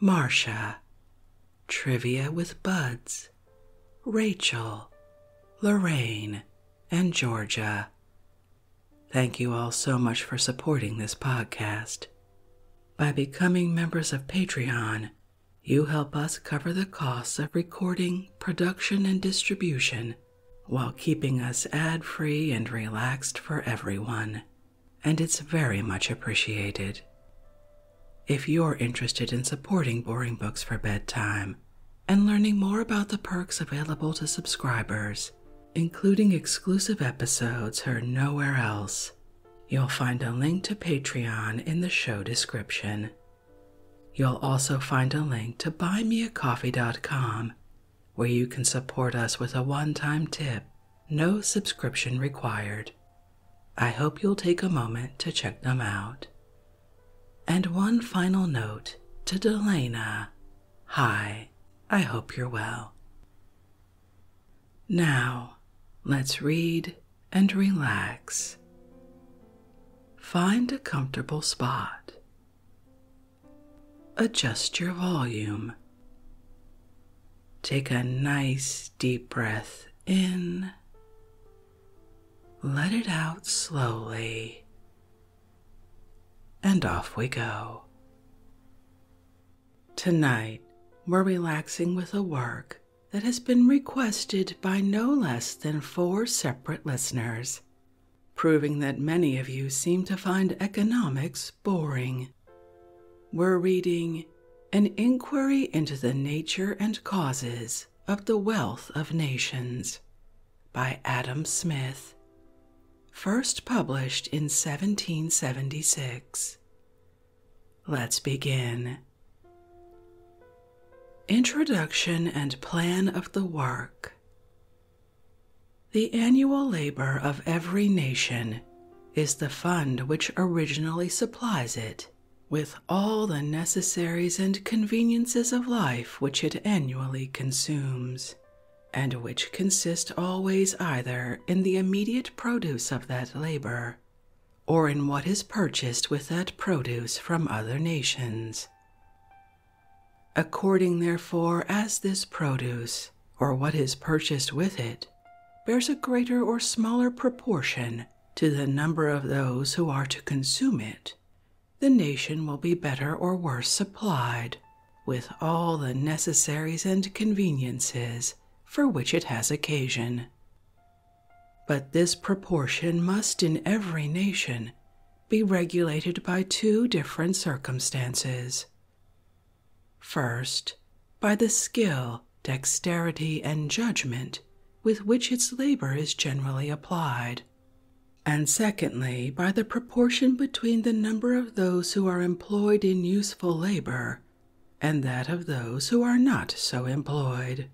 Marcia, Trivia with Buds, Rachel, Lorraine, and Georgia. Thank you all so much for supporting this podcast. By becoming members of Patreon, you help us cover the costs of recording, production, and distribution while keeping us ad free and relaxed for everyone and it's very much appreciated. If you're interested in supporting Boring Books for Bedtime and learning more about the perks available to subscribers, including exclusive episodes heard nowhere else, you'll find a link to Patreon in the show description. You'll also find a link to buymeacoffee.com where you can support us with a one time tip no subscription required. I hope you'll take a moment to check them out. And one final note to Delana Hi, I hope you're well. Now, let's read and relax. Find a comfortable spot. Adjust your volume Take a nice deep breath in, let it out slowly, and off we go. Tonight, we're relaxing with a work that has been requested by no less than four separate listeners, proving that many of you seem to find economics boring. We're reading An Inquiry into the Nature and Causes of the Wealth of Nations by Adam Smith, first published in 1776. Let's begin. Introduction and Plan of the Work. The annual labor of every nation is the fund which originally supplies it with all the necessaries and conveniences of life which it annually consumes, and which consist always either in the immediate produce of that labor or in what is purchased with that produce from other nations. According, therefore, as this produce or what is purchased with it, bears a greater or smaller proportion to the number of those who are to consume it, the nation will be better or worse supplied with all the necessaries and conveniences for which it has occasion. But this proportion must in every nation be regulated by two different circumstances. First, by the skill, dexterity, and judgment with which its labor is generally applied, and secondly, by the proportion between the number of those who are employed in useful labor and that of those who are not so employed.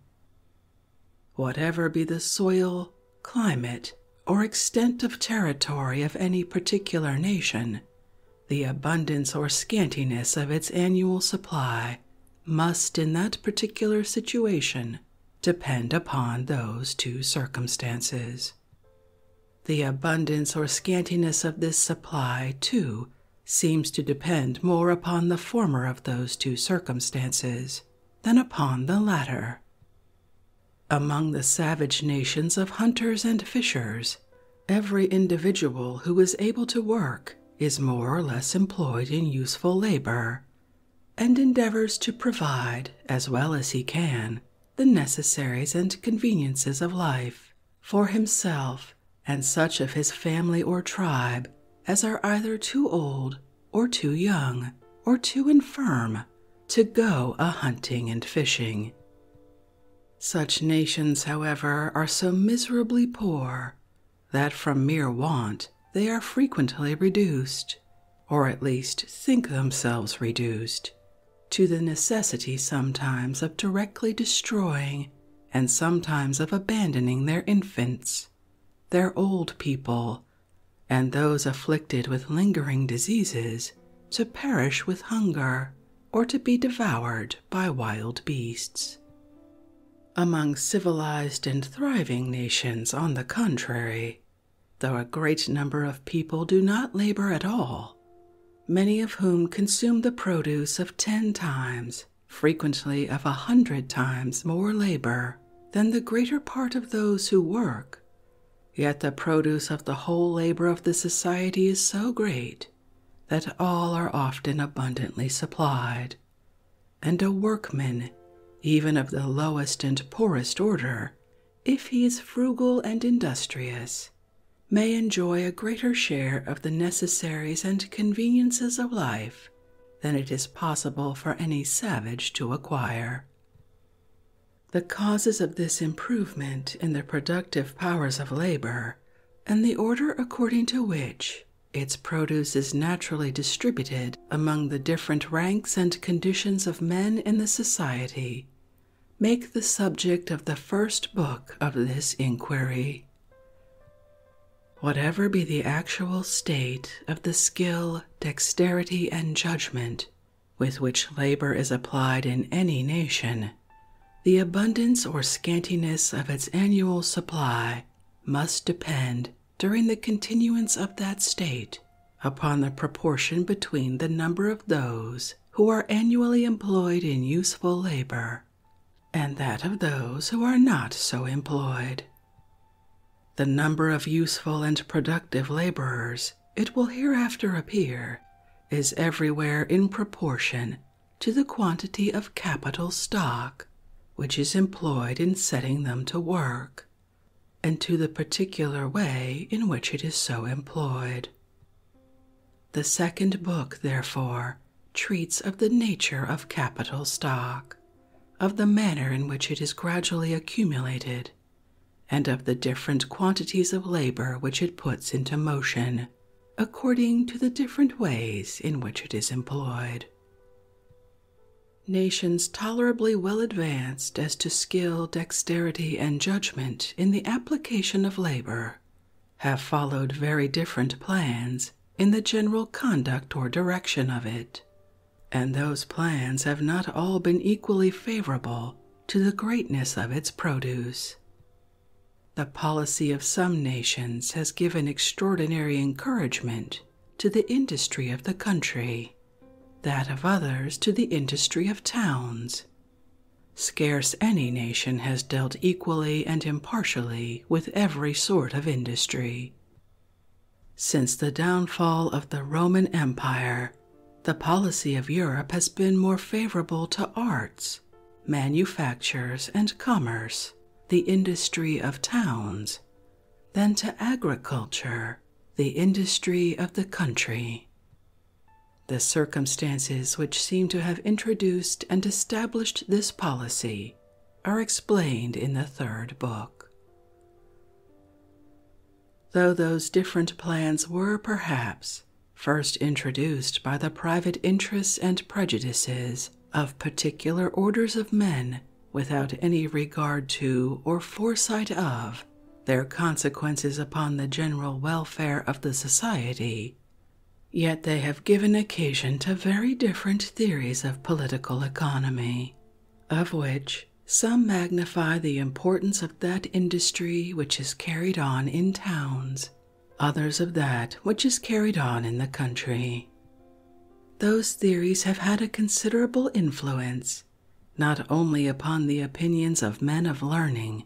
Whatever be the soil, climate, or extent of territory of any particular nation, the abundance or scantiness of its annual supply must, in that particular situation, depend upon those two circumstances. The abundance or scantiness of this supply, too, seems to depend more upon the former of those two circumstances than upon the latter. Among the savage nations of hunters and fishers, Every individual who is able to work is more or less employed in useful labor and endeavors to provide, as well as he can, the necessaries and conveniences of life for himself and such of his family or tribe as are either too old or too young or too infirm to go a hunting and fishing. Such nations, however, are so miserably poor that from mere want they are frequently reduced, or at least think themselves reduced, to the necessity sometimes of directly destroying and sometimes of abandoning their infants, their old people, and those afflicted with lingering diseases to perish with hunger or to be devoured by wild beasts. Among civilized and thriving nations, on the contrary, though a great number of people do not labor at all, many of whom consume the produce of ten times, frequently of a hundred times more labor than the greater part of those who work, yet the produce of the whole labor of the society is so great that all are often abundantly supplied, and a workman, even of the lowest and poorest order, if he is frugal and industrious, may enjoy a greater share of the necessaries and conveniences of life than it is possible for any savage to acquire. The causes of this improvement in the productive powers of labor and the order according to which its produce is naturally distributed among the different ranks and conditions of men in the society make the subject of the first book of this inquiry. Whatever be the actual state of the skill, dexterity, and judgment with which labor is applied in any nation, the abundance or scantiness of its annual supply must depend during the continuance of that state upon the proportion between the number of those who are annually employed in useful labor and that of those who are not so employed. The number of useful and productive laborers, it will hereafter appear, is everywhere in proportion to the quantity of capital stock which is employed in setting them to work, and to the particular way in which it is so employed. The second book, therefore, treats of the nature of capital stock, of the manner in which it is gradually accumulated, and of the different quantities of labor which it puts into motion according to the different ways in which it is employed. Nations tolerably well advanced as to skill, dexterity, and judgment in the application of labor have followed very different plans in the general conduct or direction of it, and those plans have not all been equally favorable to the greatness of its produce. The policy of some nations has given extraordinary encouragement to the industry of the country, that of others to the industry of towns. Scarce any nation has dealt equally and impartially with every sort of industry. Since the downfall of the Roman Empire, the policy of Europe has been more favorable to arts manufactures and commerce, the industry of towns, than to agriculture, the industry of the country. The circumstances which seem to have introduced and established this policy are explained in the third book. Though those different plans were perhaps first introduced by the private interests and prejudices of particular orders of men without any regard to or foresight of their consequences upon the general welfare of the society, yet they have given occasion to very different theories of political economy, of which some magnify the importance of that industry which is carried on in towns others of that which is carried on in the country. Those theories have had a considerable influence not only upon the opinions of men of learning,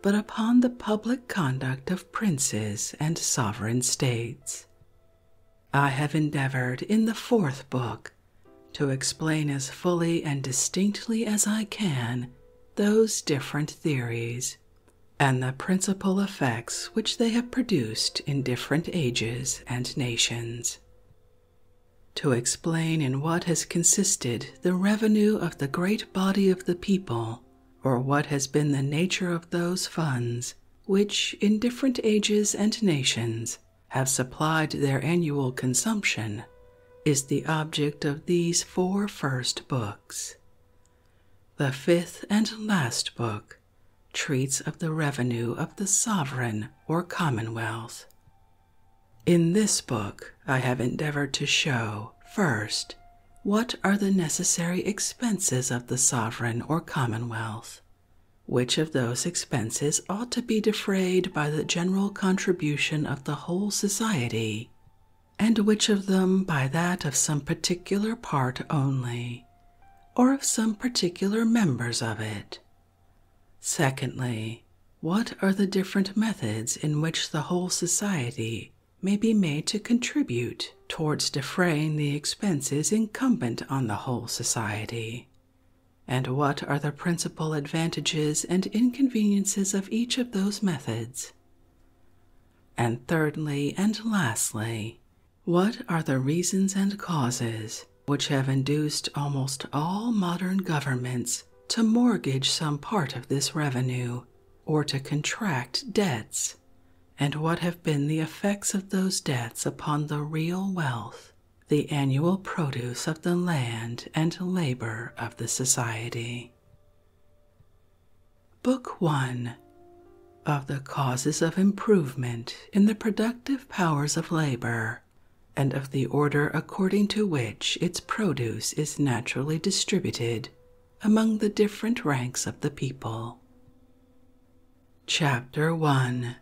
but upon the public conduct of princes and sovereign states. I have endeavored in the fourth book to explain as fully and distinctly as I can those different theories and the principal effects which they have produced in different ages and nations. To explain in what has consisted the revenue of the great body of the people, or what has been the nature of those funds which, in different ages and nations, have supplied their annual consumption, is the object of these four first books. The fifth and last book treats of the revenue of the sovereign or commonwealth. In this book, I have endeavored to show, first, what are the necessary expenses of the sovereign or commonwealth, which of those expenses ought to be defrayed by the general contribution of the whole society, and which of them by that of some particular part only, or of some particular members of it. Secondly, what are the different methods in which the whole society may be made to contribute towards defraying the expenses incumbent on the whole society? And what are the principal advantages and inconveniences of each of those methods? And thirdly and lastly, what are the reasons and causes which have induced almost all modern governments to mortgage some part of this revenue or to contract debts, and what have been the effects of those debts upon the real wealth, the annual produce of the land and labor of the society? Book 1 of the Causes of Improvement in the Productive Powers of Labor, and of the order according to which its produce is naturally distributed among the different ranks of the people. Chapter 1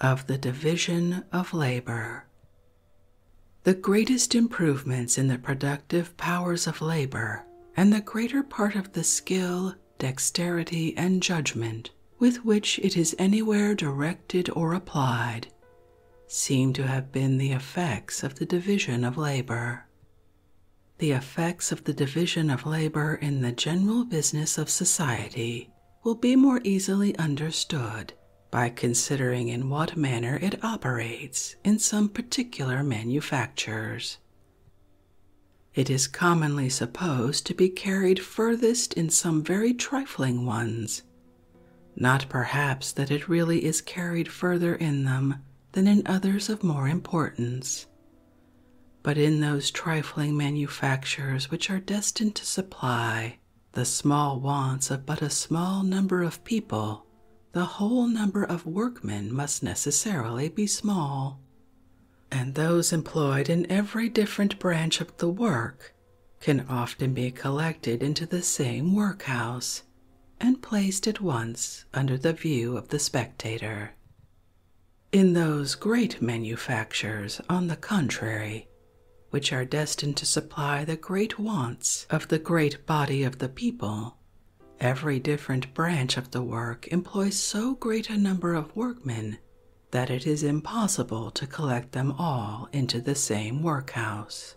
of the Division of Labor the greatest improvements in the productive powers of labor and the greater part of the skill, dexterity, and judgment with which it is anywhere directed or applied seem to have been the effects of the division of labor. The effects of the division of labor in the general business of society will be more easily understood by considering in what manner it operates in some particular manufactures. It is commonly supposed to be carried furthest in some very trifling ones, not perhaps that it really is carried further in them than in others of more importance. But in those trifling manufactures which are destined to supply the small wants of but a small number of people, the whole number of workmen must necessarily be small, and those employed in every different branch of the work can often be collected into the same workhouse and placed at once under the view of the spectator. In those great manufactures, on the contrary, which are destined to supply the great wants of the great body of the people, Every different branch of the work employs so great a number of workmen that it is impossible to collect them all into the same workhouse.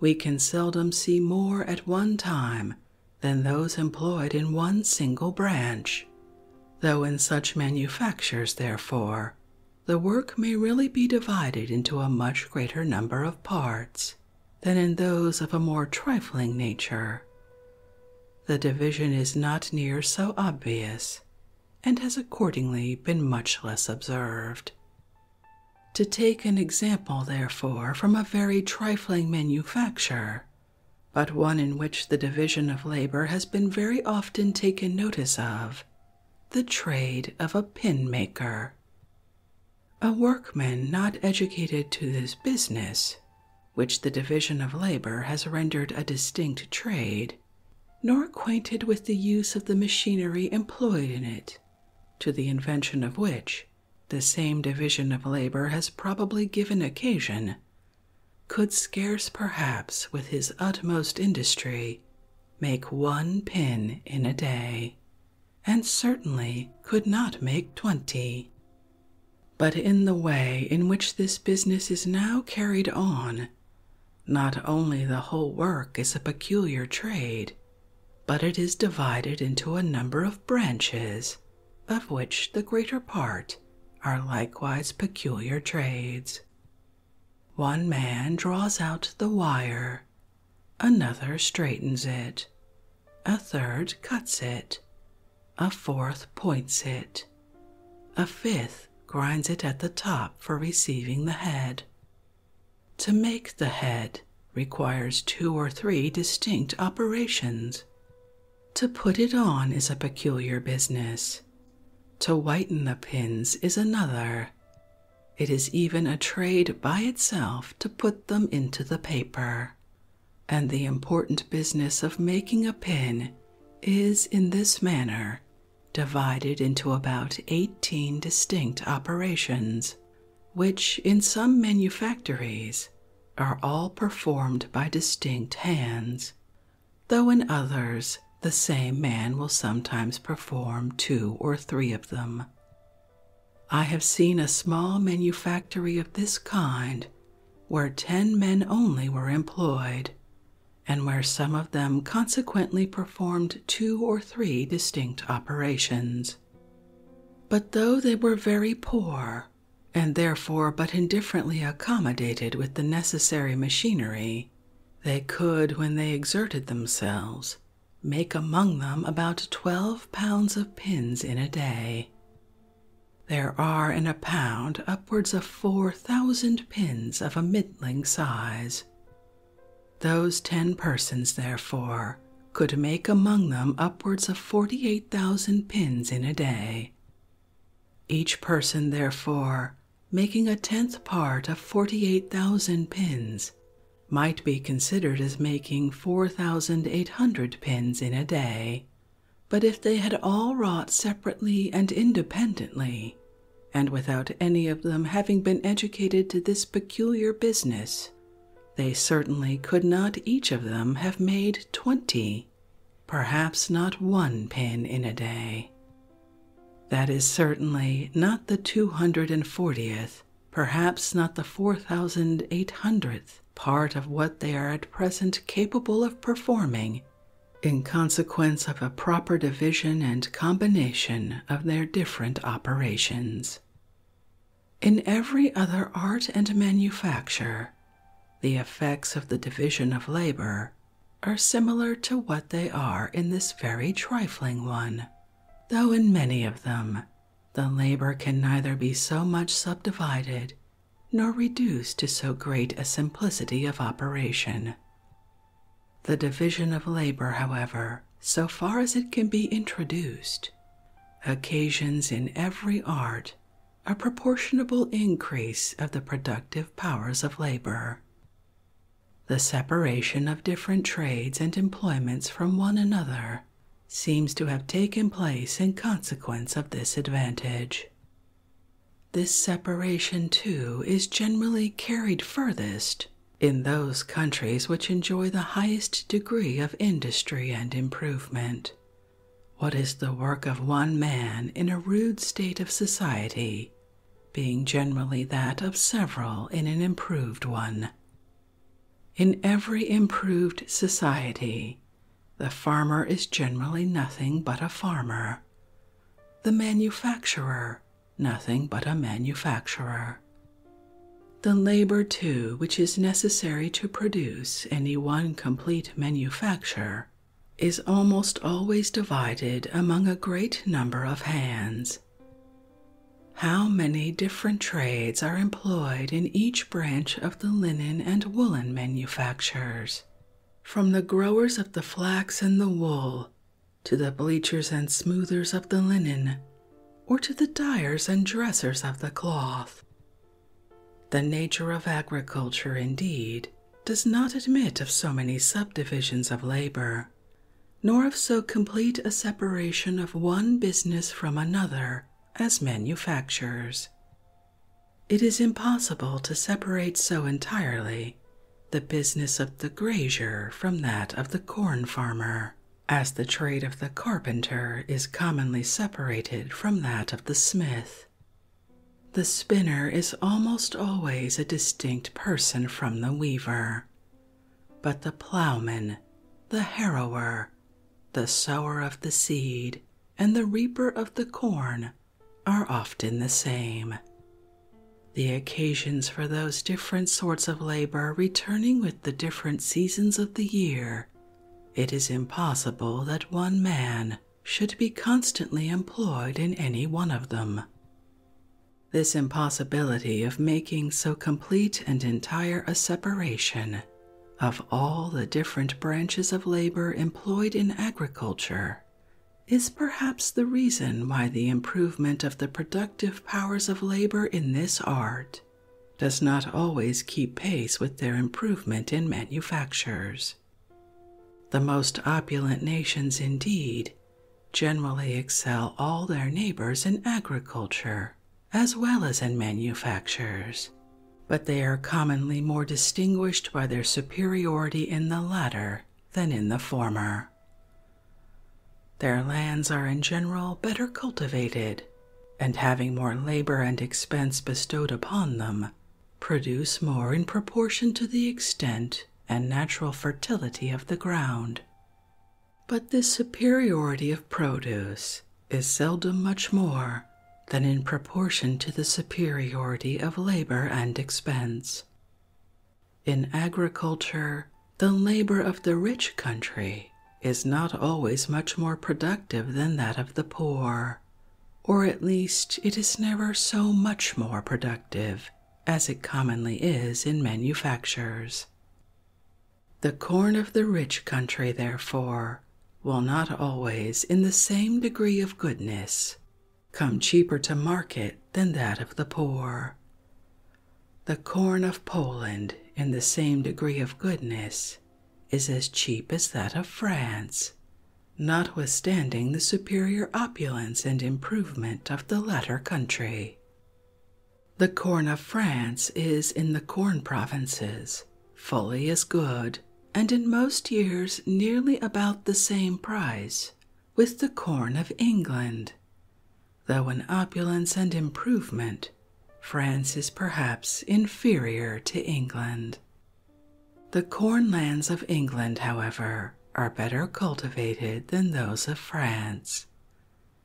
We can seldom see more at one time than those employed in one single branch, though in such manufactures, therefore, the work may really be divided into a much greater number of parts than in those of a more trifling nature. The division is not near so obvious and has accordingly been much less observed. To take an example, therefore, from a very trifling manufacture, but one in which the division of labor has been very often taken notice of, the trade of a pin maker. A workman not educated to this business, which the division of labor has rendered a distinct trade, nor acquainted with the use of the machinery employed in it, to the invention of which the same division of labor has probably given occasion, could scarce perhaps with his utmost industry make one pin in a day and certainly could not make twenty. But in the way in which this business is now carried on, not only the whole work is a peculiar trade, but it is divided into a number of branches, of which the greater part are likewise peculiar trades. One man draws out the wire Another straightens it. A third cuts it. A fourth points it. A fifth grinds it at the top for receiving the head. To make the head requires two or three distinct operations. To put it on is a peculiar business. To whiten the pins is another. It is even a trade by itself to put them into the paper. And the important business of making a pin is in this manner divided into about 18 distinct operations, which in some manufactories are all performed by distinct hands, though in others the same man will sometimes perform two or three of them. I have seen a small manufactory of this kind where ten men only were employed, and where some of them consequently performed two or three distinct operations. But though they were very poor, and therefore but indifferently accommodated with the necessary machinery, they could, when they exerted themselves, make among them about 12 pounds of pins in a day. There are in a pound upwards of 4,000 pins of a middling size. Those 10 persons, therefore, could make among them upwards of 48,000 pins in a day. Each person, therefore, making a tenth part of 48,000 pins, might be considered as making 4,800 pins in a day, but if they had all wrought separately and independently, and without any of them having been educated to this peculiar business, they certainly could not each of them have made twenty, perhaps not one pin in a day. That is certainly not the 240th perhaps not the four thousand eight hundredth part of what they are at present capable of performing in consequence of a proper division and combination of their different operations. In every other art and manufacture, the effects of the division of labor are similar to what they are in this very trifling one, though in many of them the labor can neither be so much subdivided nor reduced to so great a simplicity of operation. The division of labor, however, so far as it can be introduced, occasions in every art a proportionable increase of the productive powers of labor. The separation of different trades and employments from one another seems to have taken place in consequence of this advantage. This separation, too, is generally carried furthest in those countries which enjoy the highest degree of industry and improvement. What is the work of one man in a rude state of society? Being generally that of several in an improved one, in every improved society, the farmer is generally nothing but a farmer, the manufacturer nothing but a manufacturer. The labor, too, which is necessary to produce any one complete manufacture, is almost always divided among a great number of hands. How many different trades are employed in each branch of the linen and woolen manufactures, from the growers of the flax and the wool to the bleachers and smoothers of the linen, or to the dyers and dressers of the cloth? The nature of agriculture, indeed, does not admit of so many subdivisions of labor nor of so complete a separation of one business from another as manufactures. It is impossible to separate so entirely the business of the grazier from that of the corn farmer, as the trade of the carpenter is commonly separated from that of the smith. The spinner is almost always a distinct person from the weaver, but the plowman, the harrower, the sower of the seed, and the reaper of the corn are often the same. The occasions for those different sorts of labor returning with the different seasons of the year, it is impossible that one man should be constantly employed in any one of them. This impossibility of making so complete and entire a separation of all the different branches of labor employed in agriculture is perhaps the reason why the improvement of the productive powers of labor in this art does not always keep pace with their improvement in manufactures. The most opulent nations, indeed, generally excel all their neighbors in agriculture as well as in manufactures, but they are commonly more distinguished by their superiority in the latter than in the former. Their lands are in general better cultivated, and having more labor and expense bestowed upon them, produce more in proportion to the extent and natural fertility of the ground. But this superiority of produce is seldom much more than in proportion to the superiority of labor and expense. In agriculture, the labor of the rich country is not always much more productive than that of the poor, or at least it is never so much more productive as it commonly is in manufactures. The corn of the rich country, therefore, will not always, in the same degree of goodness, come cheaper to market than that of the poor. The corn of Poland, in the same degree of goodness, is as cheap as that of France, notwithstanding the superior opulence and improvement of the latter country. The corn of France is in the corn provinces, fully as good, and in most years nearly about the same price with the corn of England, though in opulence and improvement France is perhaps inferior to England. The corn lands of England, however, are better cultivated than those of France,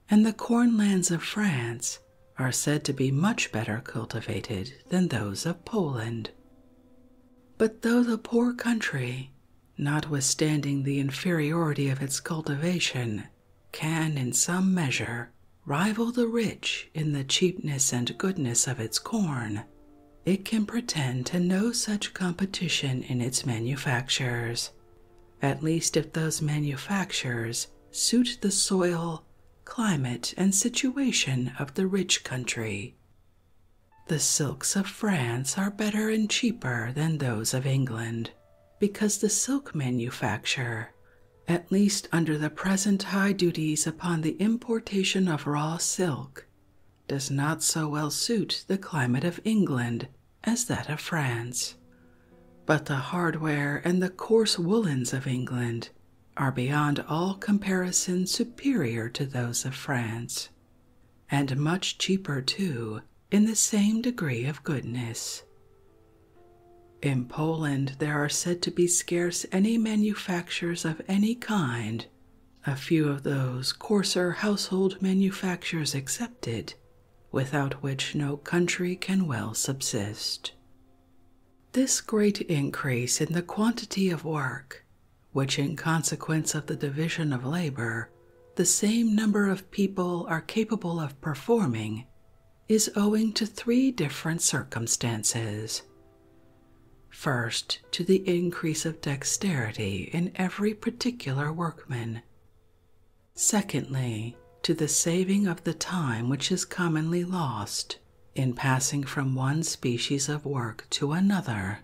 and the cornlands of France are said to be much better cultivated than those of Poland. But though the poor country, notwithstanding the inferiority of its cultivation, can in some measure rival the rich in the cheapness and goodness of its corn, it can pretend to no such competition in its manufactures at least if those manufactures suit the soil, climate, and situation of the rich country. The silks of France are better and cheaper than those of England because the silk manufacture, at least under the present high duties upon the importation of raw silk, does not so well suit the climate of England as that of France, but the hardware and the coarse woolens of England are beyond all comparison superior to those of France, and much cheaper too in the same degree of goodness. In Poland, there are said to be scarce any manufactures of any kind, a few of those coarser household manufactures excepted, without which no country can well subsist. This great increase in the quantity of work, which in consequence of the division of labor, the same number of people are capable of performing, is owing to three different circumstances. First, to the increase of dexterity in every particular workman, Secondly, to the saving of the time which is commonly lost in passing from one species of work to another.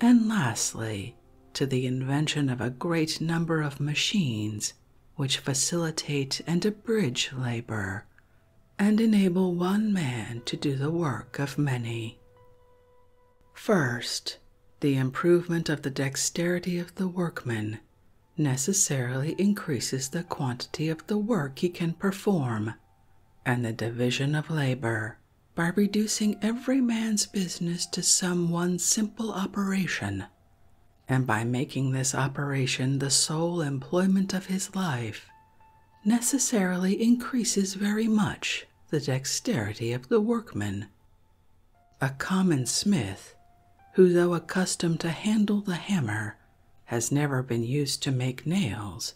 And lastly, to the invention of a great number of machines which facilitate and abridge labor and enable one man to do the work of many. First, the improvement of the dexterity of the workman necessarily increases the quantity of the work he can perform and the division of labor by reducing every man's business to some one simple operation and by making this operation the sole employment of his life necessarily increases very much the dexterity of the workman a common smith, who, though accustomed to handle the hammer, has never been used to make nails,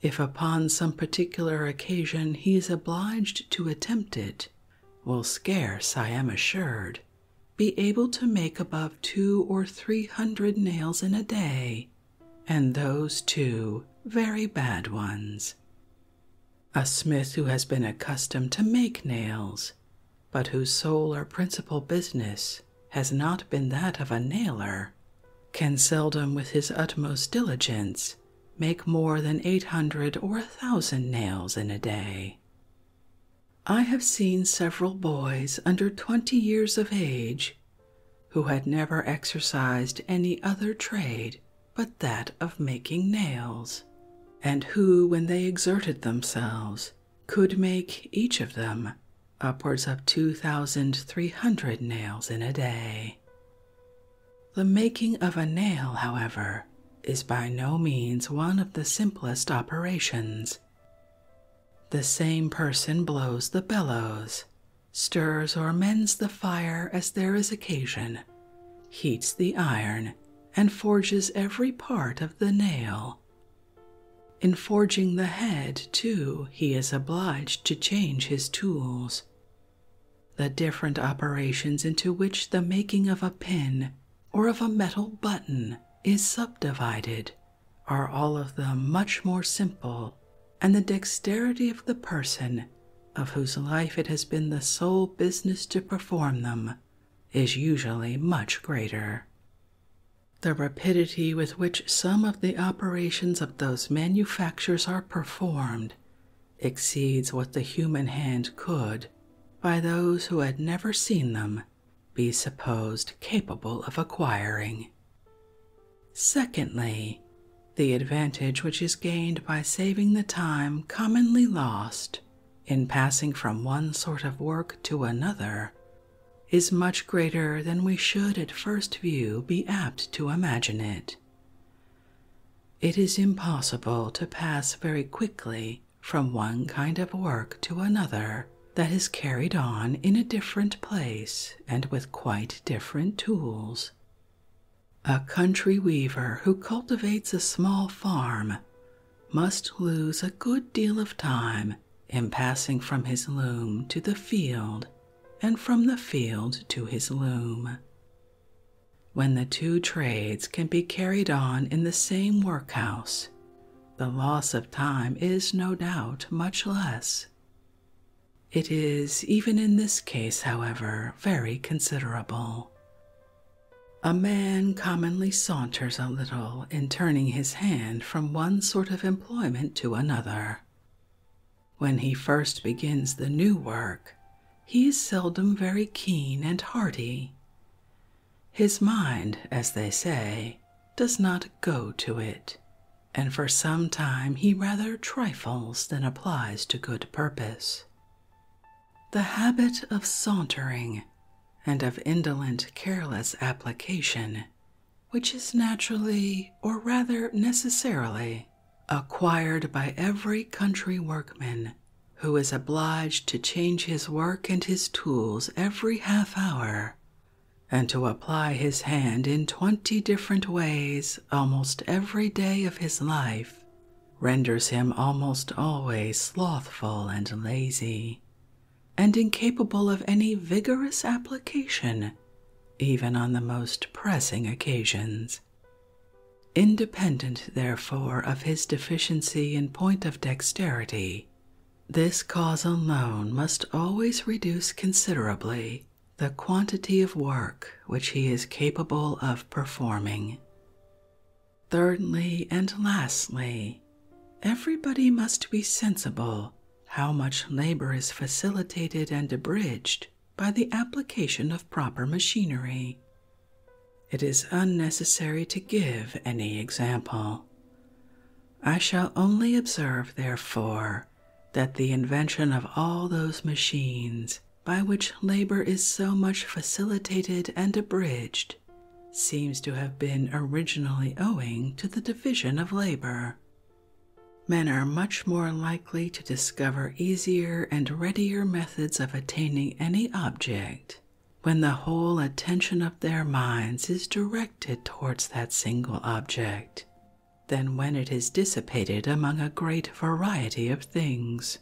if upon some particular occasion he is obliged to attempt it, will scarce, I am assured, be able to make above two or three hundred nails in a day, and those too very bad ones, a smith who has been accustomed to make nails, but whose sole or principal business has not been that of a nailer, can seldom with his utmost diligence make more than eight hundred or a thousand nails in a day. I have seen several boys under twenty years of age who had never exercised any other trade but that of making nails and who, when they exerted themselves, could make each of them upwards of 2,300 nails in a day. The making of a nail, however, is by no means one of the simplest operations. The same person blows the bellows, stirs or mends the fire as there is occasion, heats the iron, and forges every part of the nail. In forging the head, too, he is obliged to change his tools. The different operations into which the making of a pin or of a metal button is subdivided are all of them much more simple, and the dexterity of the person of whose life it has been the sole business to perform them is usually much greater. The rapidity with which some of the operations of those manufactures are performed exceeds what the human hand could, by those who had never seen them, be supposed capable of acquiring. Secondly, the advantage which is gained by saving the time commonly lost in passing from one sort of work to another is much greater than we should at first view be apt to imagine it. It is impossible to pass very quickly from one kind of work to another that is carried on in a different place and with quite different tools. A country weaver who cultivates a small farm must lose a good deal of time in passing from his loom to the field and from the field to his loom. When the two trades can be carried on in the same workhouse, the loss of time is no doubt much less. It is, even in this case, however, very considerable. A man commonly saunters a little in turning his hand from one sort of employment to another. When he first begins the new work, he is seldom very keen and hearty. His mind, as they say, does not go to it, and for some time he rather trifles than applies to good purpose. The habit of sauntering and of indolent, careless application, which is naturally, or rather necessarily, acquired by every country workman who is obliged to change his work and his tools every half hour, and to apply his hand in twenty different ways almost every day of his life, renders him almost always slothful and lazy, and incapable of any vigorous application, even on the most pressing occasions. Independent, therefore, of his deficiency in point of dexterity, this cause alone must always reduce considerably the quantity of work which he is capable of performing. Thirdly and lastly, everybody must be sensible how much labor is facilitated and abridged by the application of proper machinery. It is unnecessary to give any example. I shall only observe, therefore, that the invention of all those machines by which labor is so much facilitated and abridged seems to have been originally owing to the division of labor. Men are much more likely to discover easier and readier methods of attaining any object when the whole attention of their minds is directed towards that single object than when it is dissipated among a great variety of things,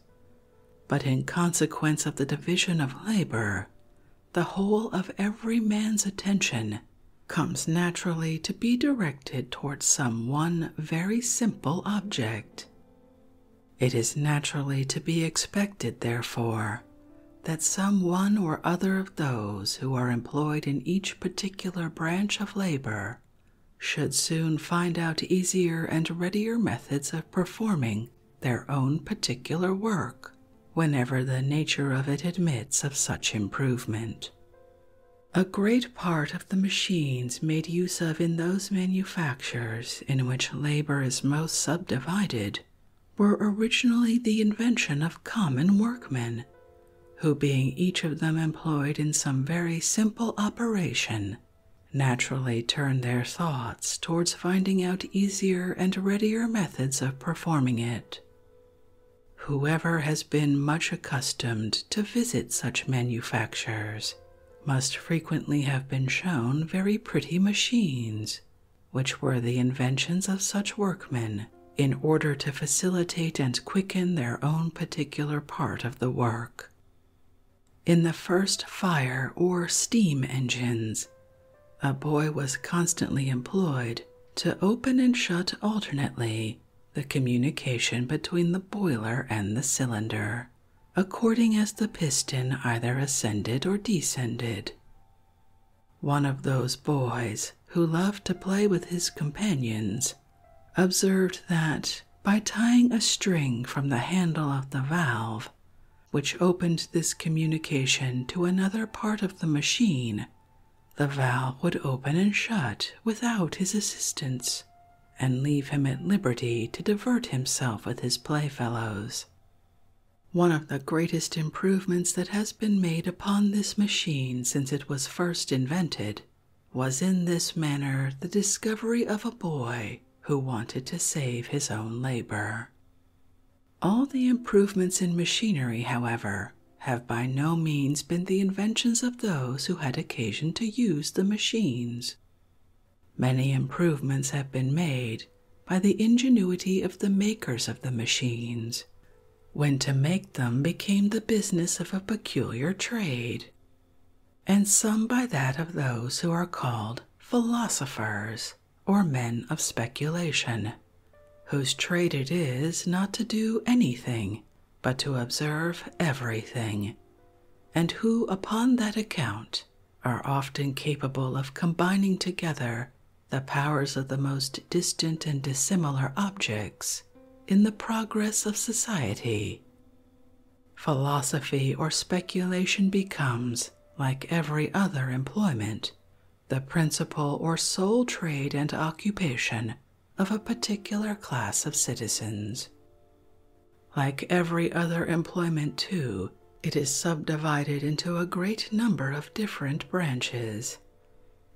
but in consequence of the division of labor, the whole of every man's attention comes naturally to be directed towards some one very simple object. It is naturally to be expected, therefore, that some one or other of those who are employed in each particular branch of labor should soon find out easier and readier methods of performing their own particular work whenever the nature of it admits of such improvement. A great part of the machines made use of in those manufactures in which labor is most subdivided were originally the invention of common workmen, who, being each of them employed in some very simple operation, naturally turn their thoughts towards finding out easier and readier methods of performing it. Whoever has been much accustomed to visit such manufactures must frequently have been shown very pretty machines, which were the inventions of such workmen in order to facilitate and quicken their own particular part of the work. In the first fire or steam engines, a boy was constantly employed to open and shut alternately the communication between the boiler and the cylinder, according as the piston either ascended or descended. One of those boys who loved to play with his companions observed that by tying a string from the handle of the valve which opened this communication to another part of the machine, the valve would open and shut without his assistance, and leave him at liberty to divert himself with his playfellows. One of the greatest improvements that has been made upon this machine since it was first invented was in this manner the discovery of a boy who wanted to save his own labor. All the improvements in machinery, however, have by no means been the inventions of those who had occasion to use the machines. Many improvements have been made by the ingenuity of the makers of the machines, when to make them became the business of a peculiar trade and some by that of those who are called philosophers or men of speculation, whose trade it is not to do anything but to observe everything, and who upon that account are often capable of combining together the powers of the most distant and dissimilar objects in the progress of society. Philosophy or speculation becomes, like every other employment, the principal or sole trade and occupation of a particular class of citizens. Like every other employment, too, it is subdivided into a great number of different branches,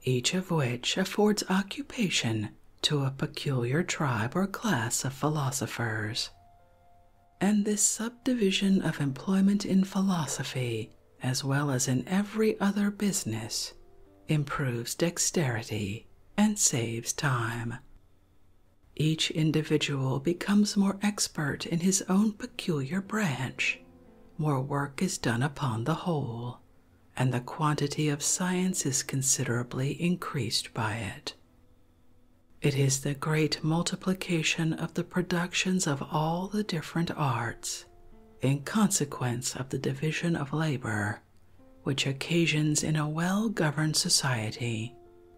each of which affords occupation to a peculiar tribe or class of philosophers and this subdivision of employment in philosophy, as well as in every other business, improves dexterity and saves time. Each individual becomes more expert in his own peculiar branch. More work is done upon the whole, and the quantity of science is considerably increased by it. It is the great multiplication of the productions of all the different arts, in consequence of the division of labor, which occasions in a well governed society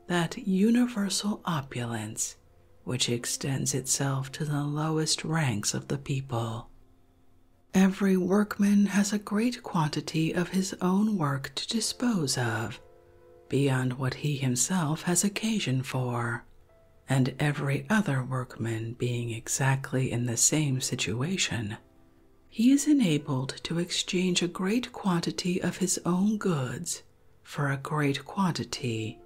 that universal opulence which extends itself to the lowest ranks of the people. Every workman has a great quantity of his own work to dispose of beyond what he himself has occasion for, and every other workman being exactly in the same situation, he is enabled to exchange a great quantity of his own goods for a great quantity,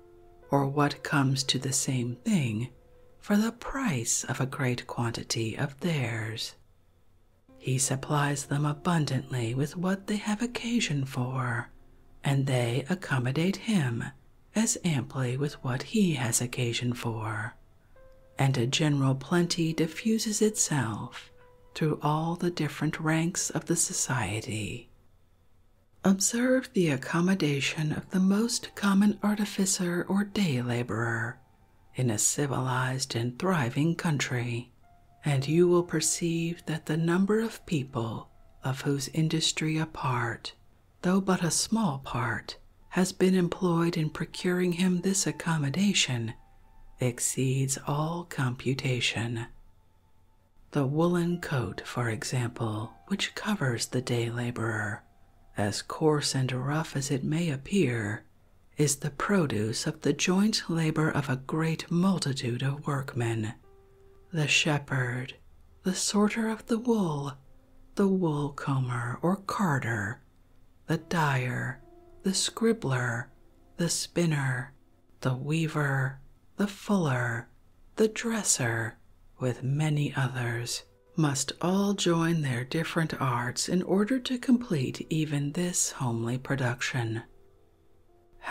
or what comes to the same thing, for the price of a great quantity of theirs. He supplies them abundantly with what they have occasion for, and they accommodate him as amply with what he has occasion for. And a general plenty diffuses itself through all the different ranks of the society. Observe the accommodation of the most common artificer or day laborer in a civilized and thriving country and you will perceive that the number of people of whose industry a part, though but a small part, has been employed in procuring him this accommodation exceeds all computation. The woolen coat, for example, which covers the day laborer, as coarse and rough as it may appear, is the produce of the joint labor of a a great multitude of workmen the shepherd, the sorter of the wool, the wool comber or carter, the dyer, the scribbler, the spinner, the weaver, the fuller, the dresser, with many others, must all join their different arts in order to complete even this homely production.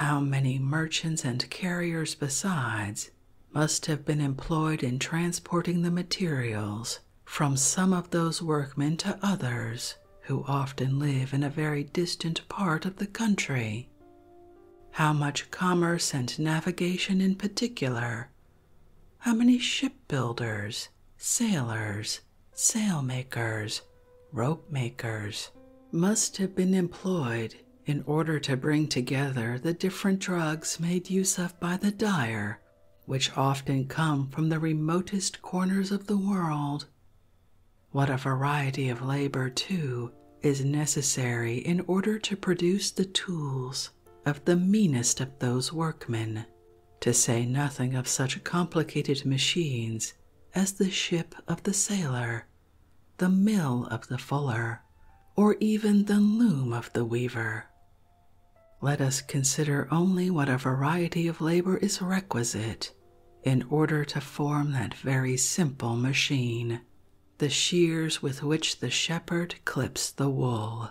How many merchants and carriers besides must have been employed in transporting the materials from some of those workmen to others who often live in a very distant part of the country? How much commerce and navigation in particular? How many shipbuilders, sailors, Sailmakers, rope makers, must have been employed in order to bring together the different drugs made use of by the dyer, which often come from the remotest corners of the world. What a variety of labor, too, is necessary in order to produce the tools of the meanest of those workmen, to say nothing of such complicated machines as the ship of the sailor, the mill of the fuller, or even the loom of the weaver. Let us consider only what a variety of labor is requisite in order to form that very simple machine, the shears with which the shepherd clips the wool.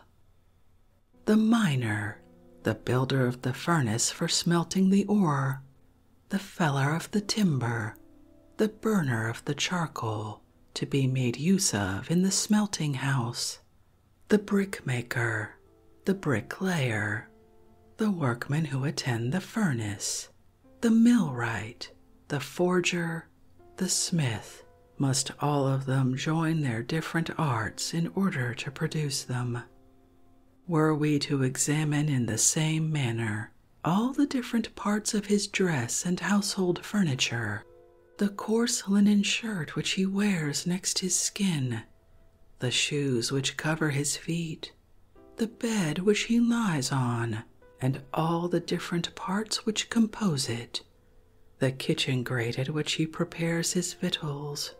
The miner, the builder of the furnace for smelting the ore, the feller of the timber, the burner of the charcoal to be made use of in the smelting house, the brickmaker, the bricklayer, the workmen who attend the furnace, the millwright, the forger, the smith. Must all of them join their different arts in order to produce them, were we to examine in the same manner all the different parts of his dress and household furniture, the coarse linen shirt which he wears next his skin, the shoes which cover his feet, the bed which he lies on, and all the different parts which compose it, the kitchen grate at which he prepares his victuals,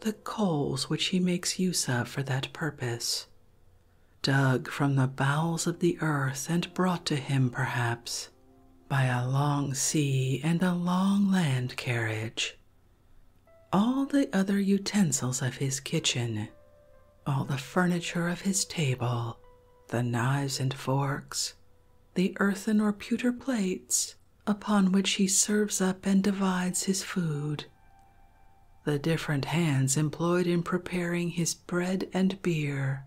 the coals which he makes use of for that purpose, dug from the bowels of the earth and brought to him perhaps by a long sea and a long land carriage. All the other utensils of his kitchen, all the furniture of his table, the knives and forks, the earthen or pewter plates upon which he serves up and divides his food, the different hands employed in preparing his bread and beer,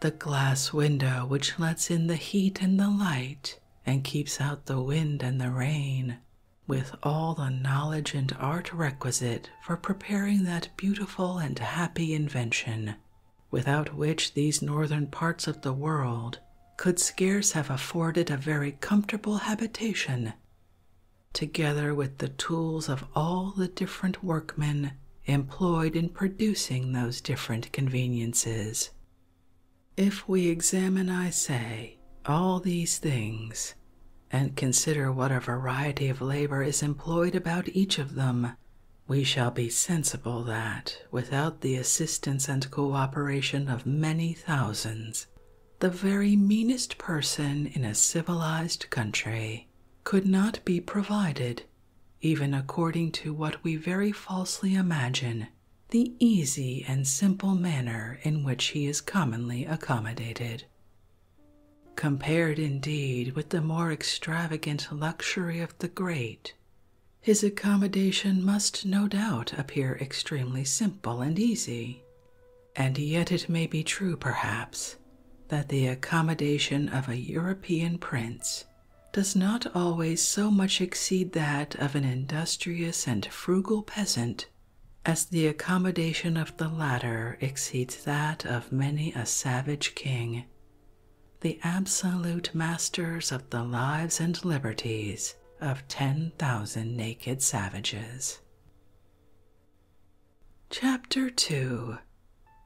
the glass window which lets in the heat and the light and keeps out the wind and the rain, with all the knowledge and art requisite for preparing that beautiful and happy invention, without which these northern parts of the world could scarce have afforded a very comfortable habitation together with the tools of all the different workmen employed in producing those different conveniences. If we examine, I say, all these things, and consider what a variety of labor is employed about each of them, we shall be sensible that, without the assistance and cooperation of many thousands the very meanest person in a civilized country could not be provided, even according to what we very falsely imagine the easy and simple manner in which he is commonly accommodated. Compared indeed with the more extravagant luxury of the great, his accommodation must no doubt appear extremely simple and easy. And yet it may be true, perhaps, that the accommodation of a European prince does not always so much exceed that of an industrious and frugal peasant as the accommodation of the latter exceeds that of many a savage king. The absolute masters of the lives and liberties of ten thousand naked savages. Chapter 2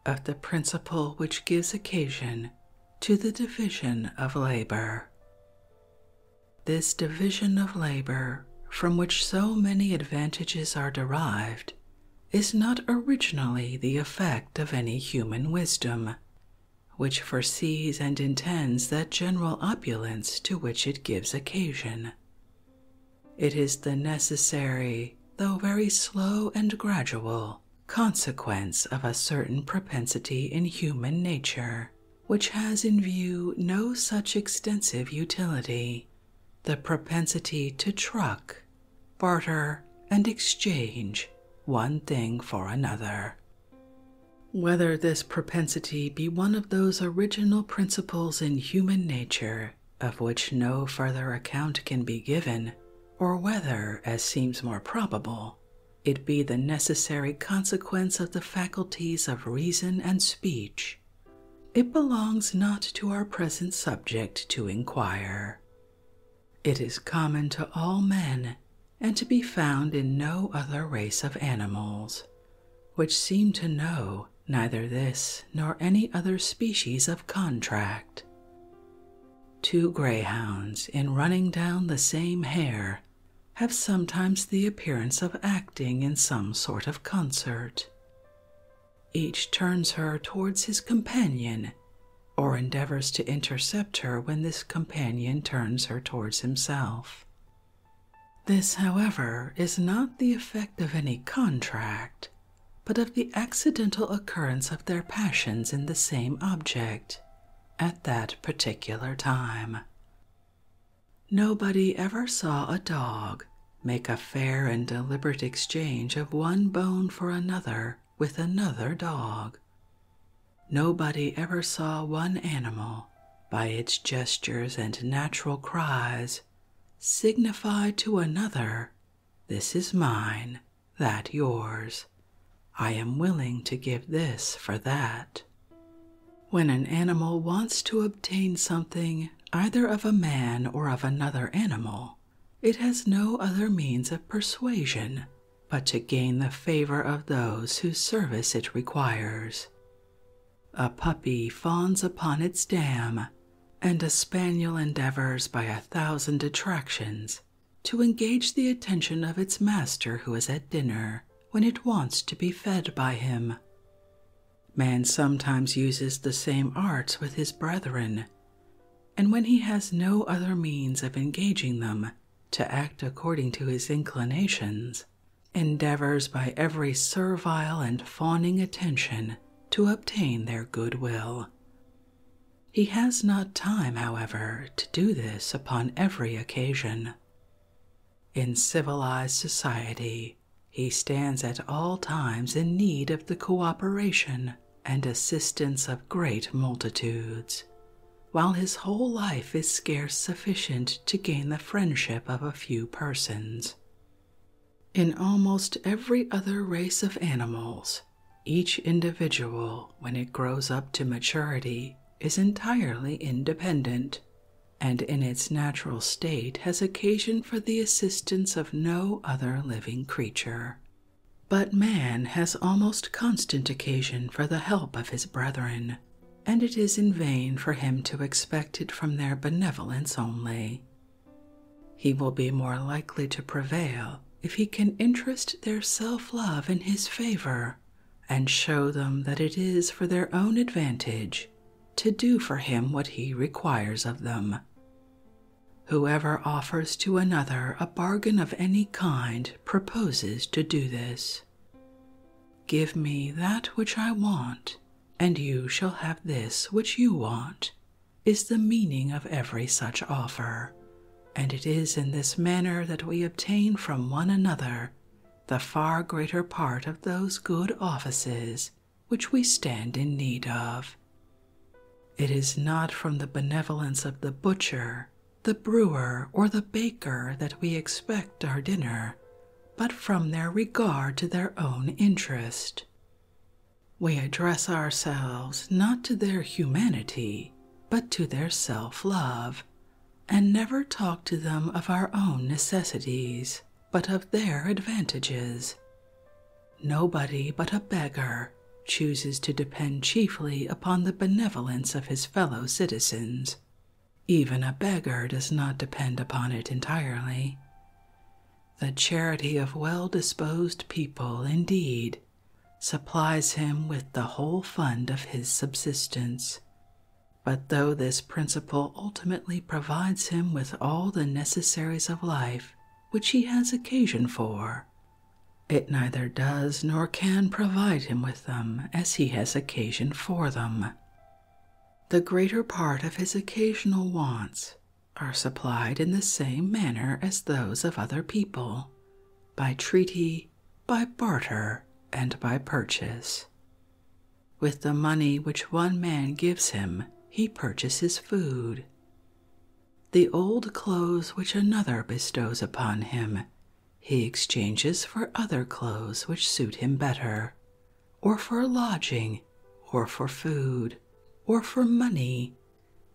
Of the Principle Which Gives Occasion to the Division of Labor. This division of labor, from which so many advantages are derived, is not originally the effect of any human wisdom, which foresees and intends that general opulence to which it gives occasion. It is the necessary, though very slow and gradual, consequence of a certain propensity in human nature, which has in view no such extensive utility the propensity to truck, barter, and exchange one thing for another. Whether this propensity be one of those original principles in human nature of which no further account can be given, or whether, as seems more probable, it be the necessary consequence of the faculties of reason and speech, it belongs not to our present subject to inquire. It is common to all men and to be found in no other race of animals which seem to know neither this nor any other species of contract. Two greyhounds, in running down the same hare, have sometimes the appearance of acting in some sort of concert. Each turns her towards his companion or endeavors to intercept her when this companion turns her towards himself. This, however, is not the effect of any contract, but of the accidental occurrence of their passions in the same object at that particular time. Nobody ever saw a dog make a fair and deliberate exchange of one bone for another with another dog. Nobody ever saw one animal by its gestures and natural cries, signify to another, This is mine, that yours. I am willing to give this for that. When an animal wants to obtain something either of a man or of another animal, it has no other means of persuasion but to gain the favor of those whose service it requires. A puppy fawns upon its dam, and a spaniel endeavors by a thousand attractions to engage the attention of its master who is at dinner when it wants to be fed by him. Man sometimes uses the same arts with his brethren, and when he has no other means of engaging them to act according to his inclinations, endeavors by every servile and fawning attention to obtain their goodwill. He has not time, however, to do this upon every occasion. In civilized society, he stands at all times in need of the cooperation and assistance of great multitudes, while his whole life is scarce sufficient to gain the friendship of a few persons. In almost every other race of animals, each individual, when it grows up to maturity, is entirely independent, and in its natural state has occasion for the assistance of no other living creature. But man has almost constant occasion for the help of his brethren and it is in vain for him to expect it from their benevolence only. He will be more likely to prevail if he can interest their self love in his favor and show them that it is for their own advantage to do for him what he requires of them. Whoever offers to another a bargain of any kind proposes to do this. Give me that which I want, and you shall have this which you want, is the meaning of every such offer, and it is in this manner that we obtain from one another the far greater part of those good offices which we stand in need of. It is not from the benevolence of the butcher, the brewer, or the baker that we expect our dinner, but from their regard to their own interest. We address ourselves not to their humanity, but to their self love, and never talk to them of our own necessities, but of their advantages. Nobody but a beggar chooses to depend chiefly upon the benevolence of his fellow citizens even a beggar does not depend upon it entirely. The charity of well disposed people, indeed, supplies him with the whole fund of his subsistence. But though this principle ultimately provides him with all the necessaries of life which he has occasion for, it neither does nor can provide him with them as he has occasion for them, the greater part of his occasional wants are supplied in the same manner as those of other people by treaty, by barter, and by purchase. With the money which one man gives him, he purchases food. The old clothes which another bestows upon him, he exchanges for other clothes which suit him better, or for lodging, or for food, or for money,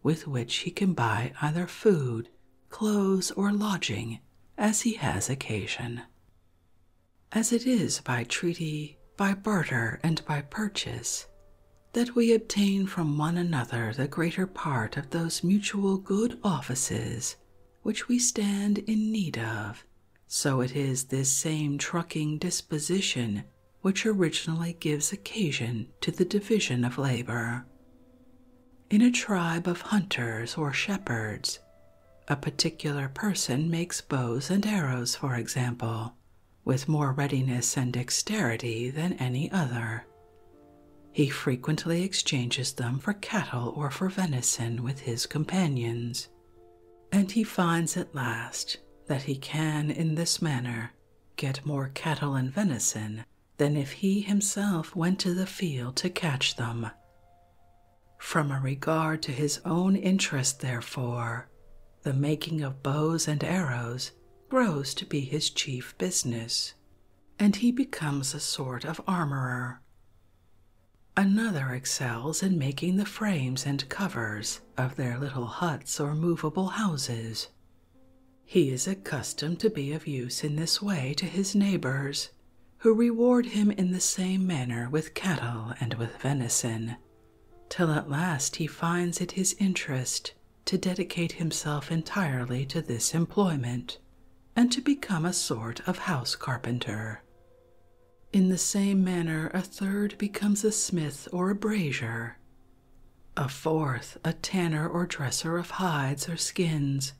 with which he can buy either food, clothes, or lodging as he has occasion. As it is by treaty, by barter, and by purchase, that we obtain from one another the greater part of those mutual good offices which we stand in need of so it is this same trucking disposition which originally gives occasion to the division of labor. In a tribe of hunters or shepherds, a particular person makes bows and arrows, for example, with more readiness and dexterity than any other. He frequently exchanges them for cattle or for venison with his companions and he finds at last that he can, in this manner, get more cattle and venison than if he himself went to the field to catch them. From a regard to his own interest, therefore, the making of bows and arrows grows to be his chief business, and he becomes a sort of armorer. Another excels in making the frames and covers of their little huts or movable houses. He is accustomed to be of use in this way to his neighbors, who reward him in the same manner with cattle and with venison, till at last he finds it his interest to dedicate himself entirely to this employment and to become a sort of house carpenter. In the same manner, a third becomes a smith or a brazier, a fourth, a tanner or dresser of hides or skins,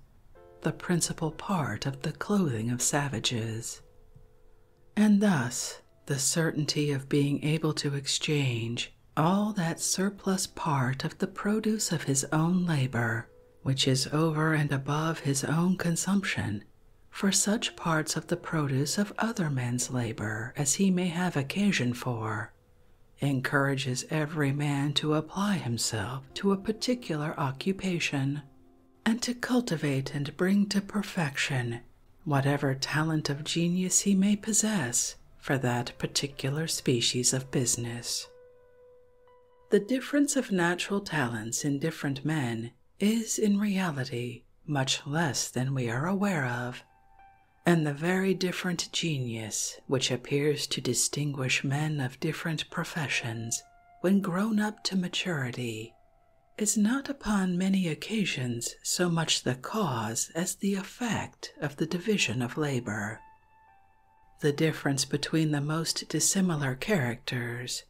the principal part of the clothing of savages. And thus, the certainty of being able to exchange all that surplus part of the produce of his own labor which is over and above his own consumption, for such parts of the produce of other men's labor as he may have occasion for, encourages every man to apply himself to a particular occupation, and to cultivate and bring to perfection whatever talent of genius he may possess for that particular species of business. The difference of natural talents in different men is in reality much less than we are aware of, and the very different genius which appears to distinguish men of different professions when grown up to maturity is not upon many occasions so much the cause as the effect of the division of labor. The difference between the most dissimilar characters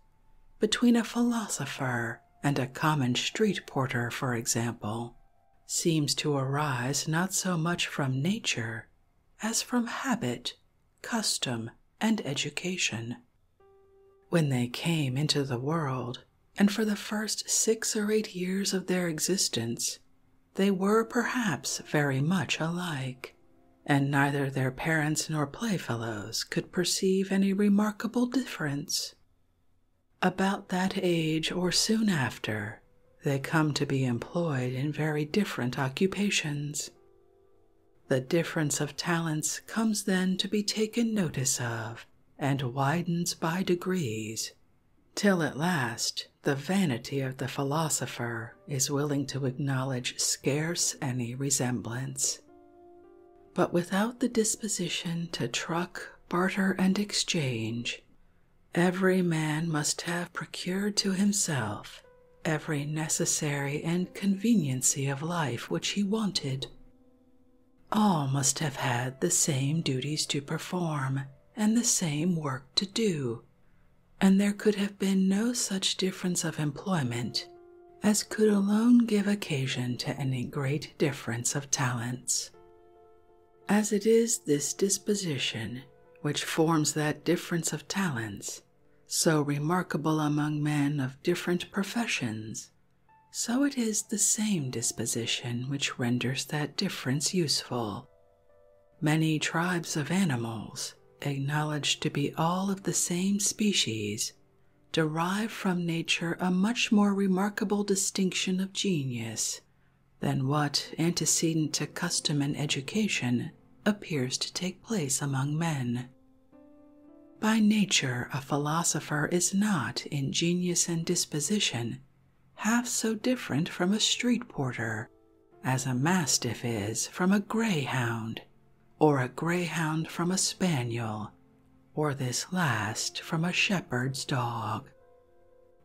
between a philosopher and a common street porter, for example, seems to arise not so much from nature as from habit, custom, and education. When they came into the world, and for the first six or eight years of their existence, they were perhaps very much alike, and neither their parents nor playfellows could perceive any remarkable difference. About that age or soon after, they come to be employed in very different occupations. The difference of talents comes then to be taken notice of and widens by degrees, till at last the vanity of the philosopher is willing to acknowledge scarce any resemblance. But without the disposition to truck, barter, and exchange, every man must have procured to himself every necessary and conveniency of life which he wanted. All must have had the same duties to perform and the same work to do, and there could have been no such difference of employment as could alone give occasion to any great difference of talents. As it is this disposition which forms that difference of talents, so remarkable among men of different professions, so it is the same disposition which renders that difference useful. Many tribes of animals animals, acknowledged to be all of the same species, derive from nature a much more remarkable distinction of genius than what, antecedent to custom and education, appears to take place among men. By nature, a philosopher is not, in genius and disposition, half so different from a street porter as a mastiff is from a greyhound or a greyhound from a spaniel, or this last from a shepherd's dog.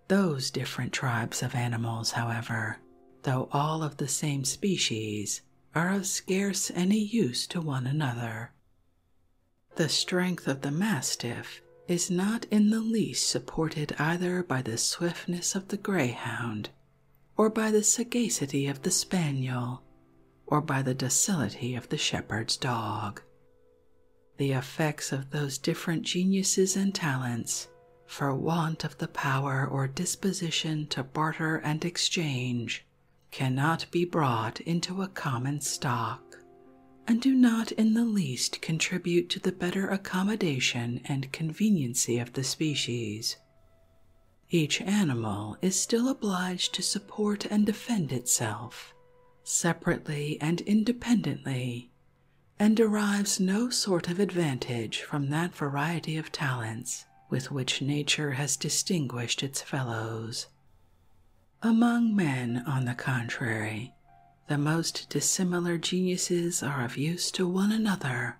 Those different tribes of animals, however, though all of the same species, are of scarce any use to one another. The strength of the mastiff is not in the least supported either by the swiftness of the greyhound or by the sagacity of the spaniel, or by the docility of the shepherd's dog. The effects of those different geniuses and talents, for want of the power or disposition to barter and exchange, cannot be brought into a common stock, and do not in the least contribute to the better accommodation and conveniency of the species. Each animal is still obliged to support and defend itself, separately and independently, and derives no sort of advantage from that variety of talents with which nature has distinguished its fellows. Among men, on the contrary, the most dissimilar geniuses are of use to one another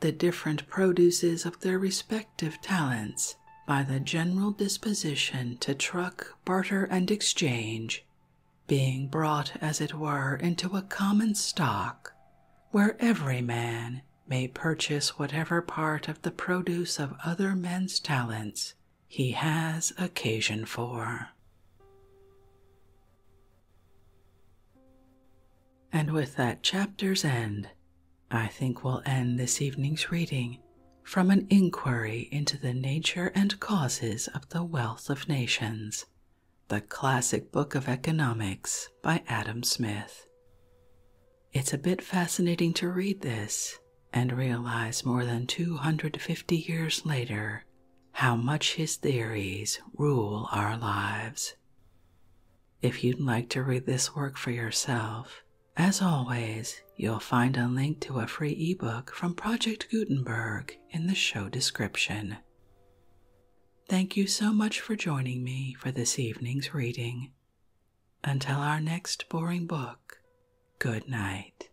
the different produces of their respective talents by the general disposition to truck, barter, and exchange, being brought, as it were, into a common stock, where every man may purchase whatever part of the produce of other men's talents he has occasion for. And with that chapter's end, I think we'll end this evening's reading from an inquiry into the nature and causes of the wealth of nations, the classic book of economics by Adam Smith. It's a bit fascinating to read this and realize more than 250 years later how much his theories rule our lives if you'd like to read this work for yourself. As always, you'll find a link to a free ebook from Project Gutenberg in the show description. Thank you so much for joining me for this evening's reading. Until our next boring book, good night.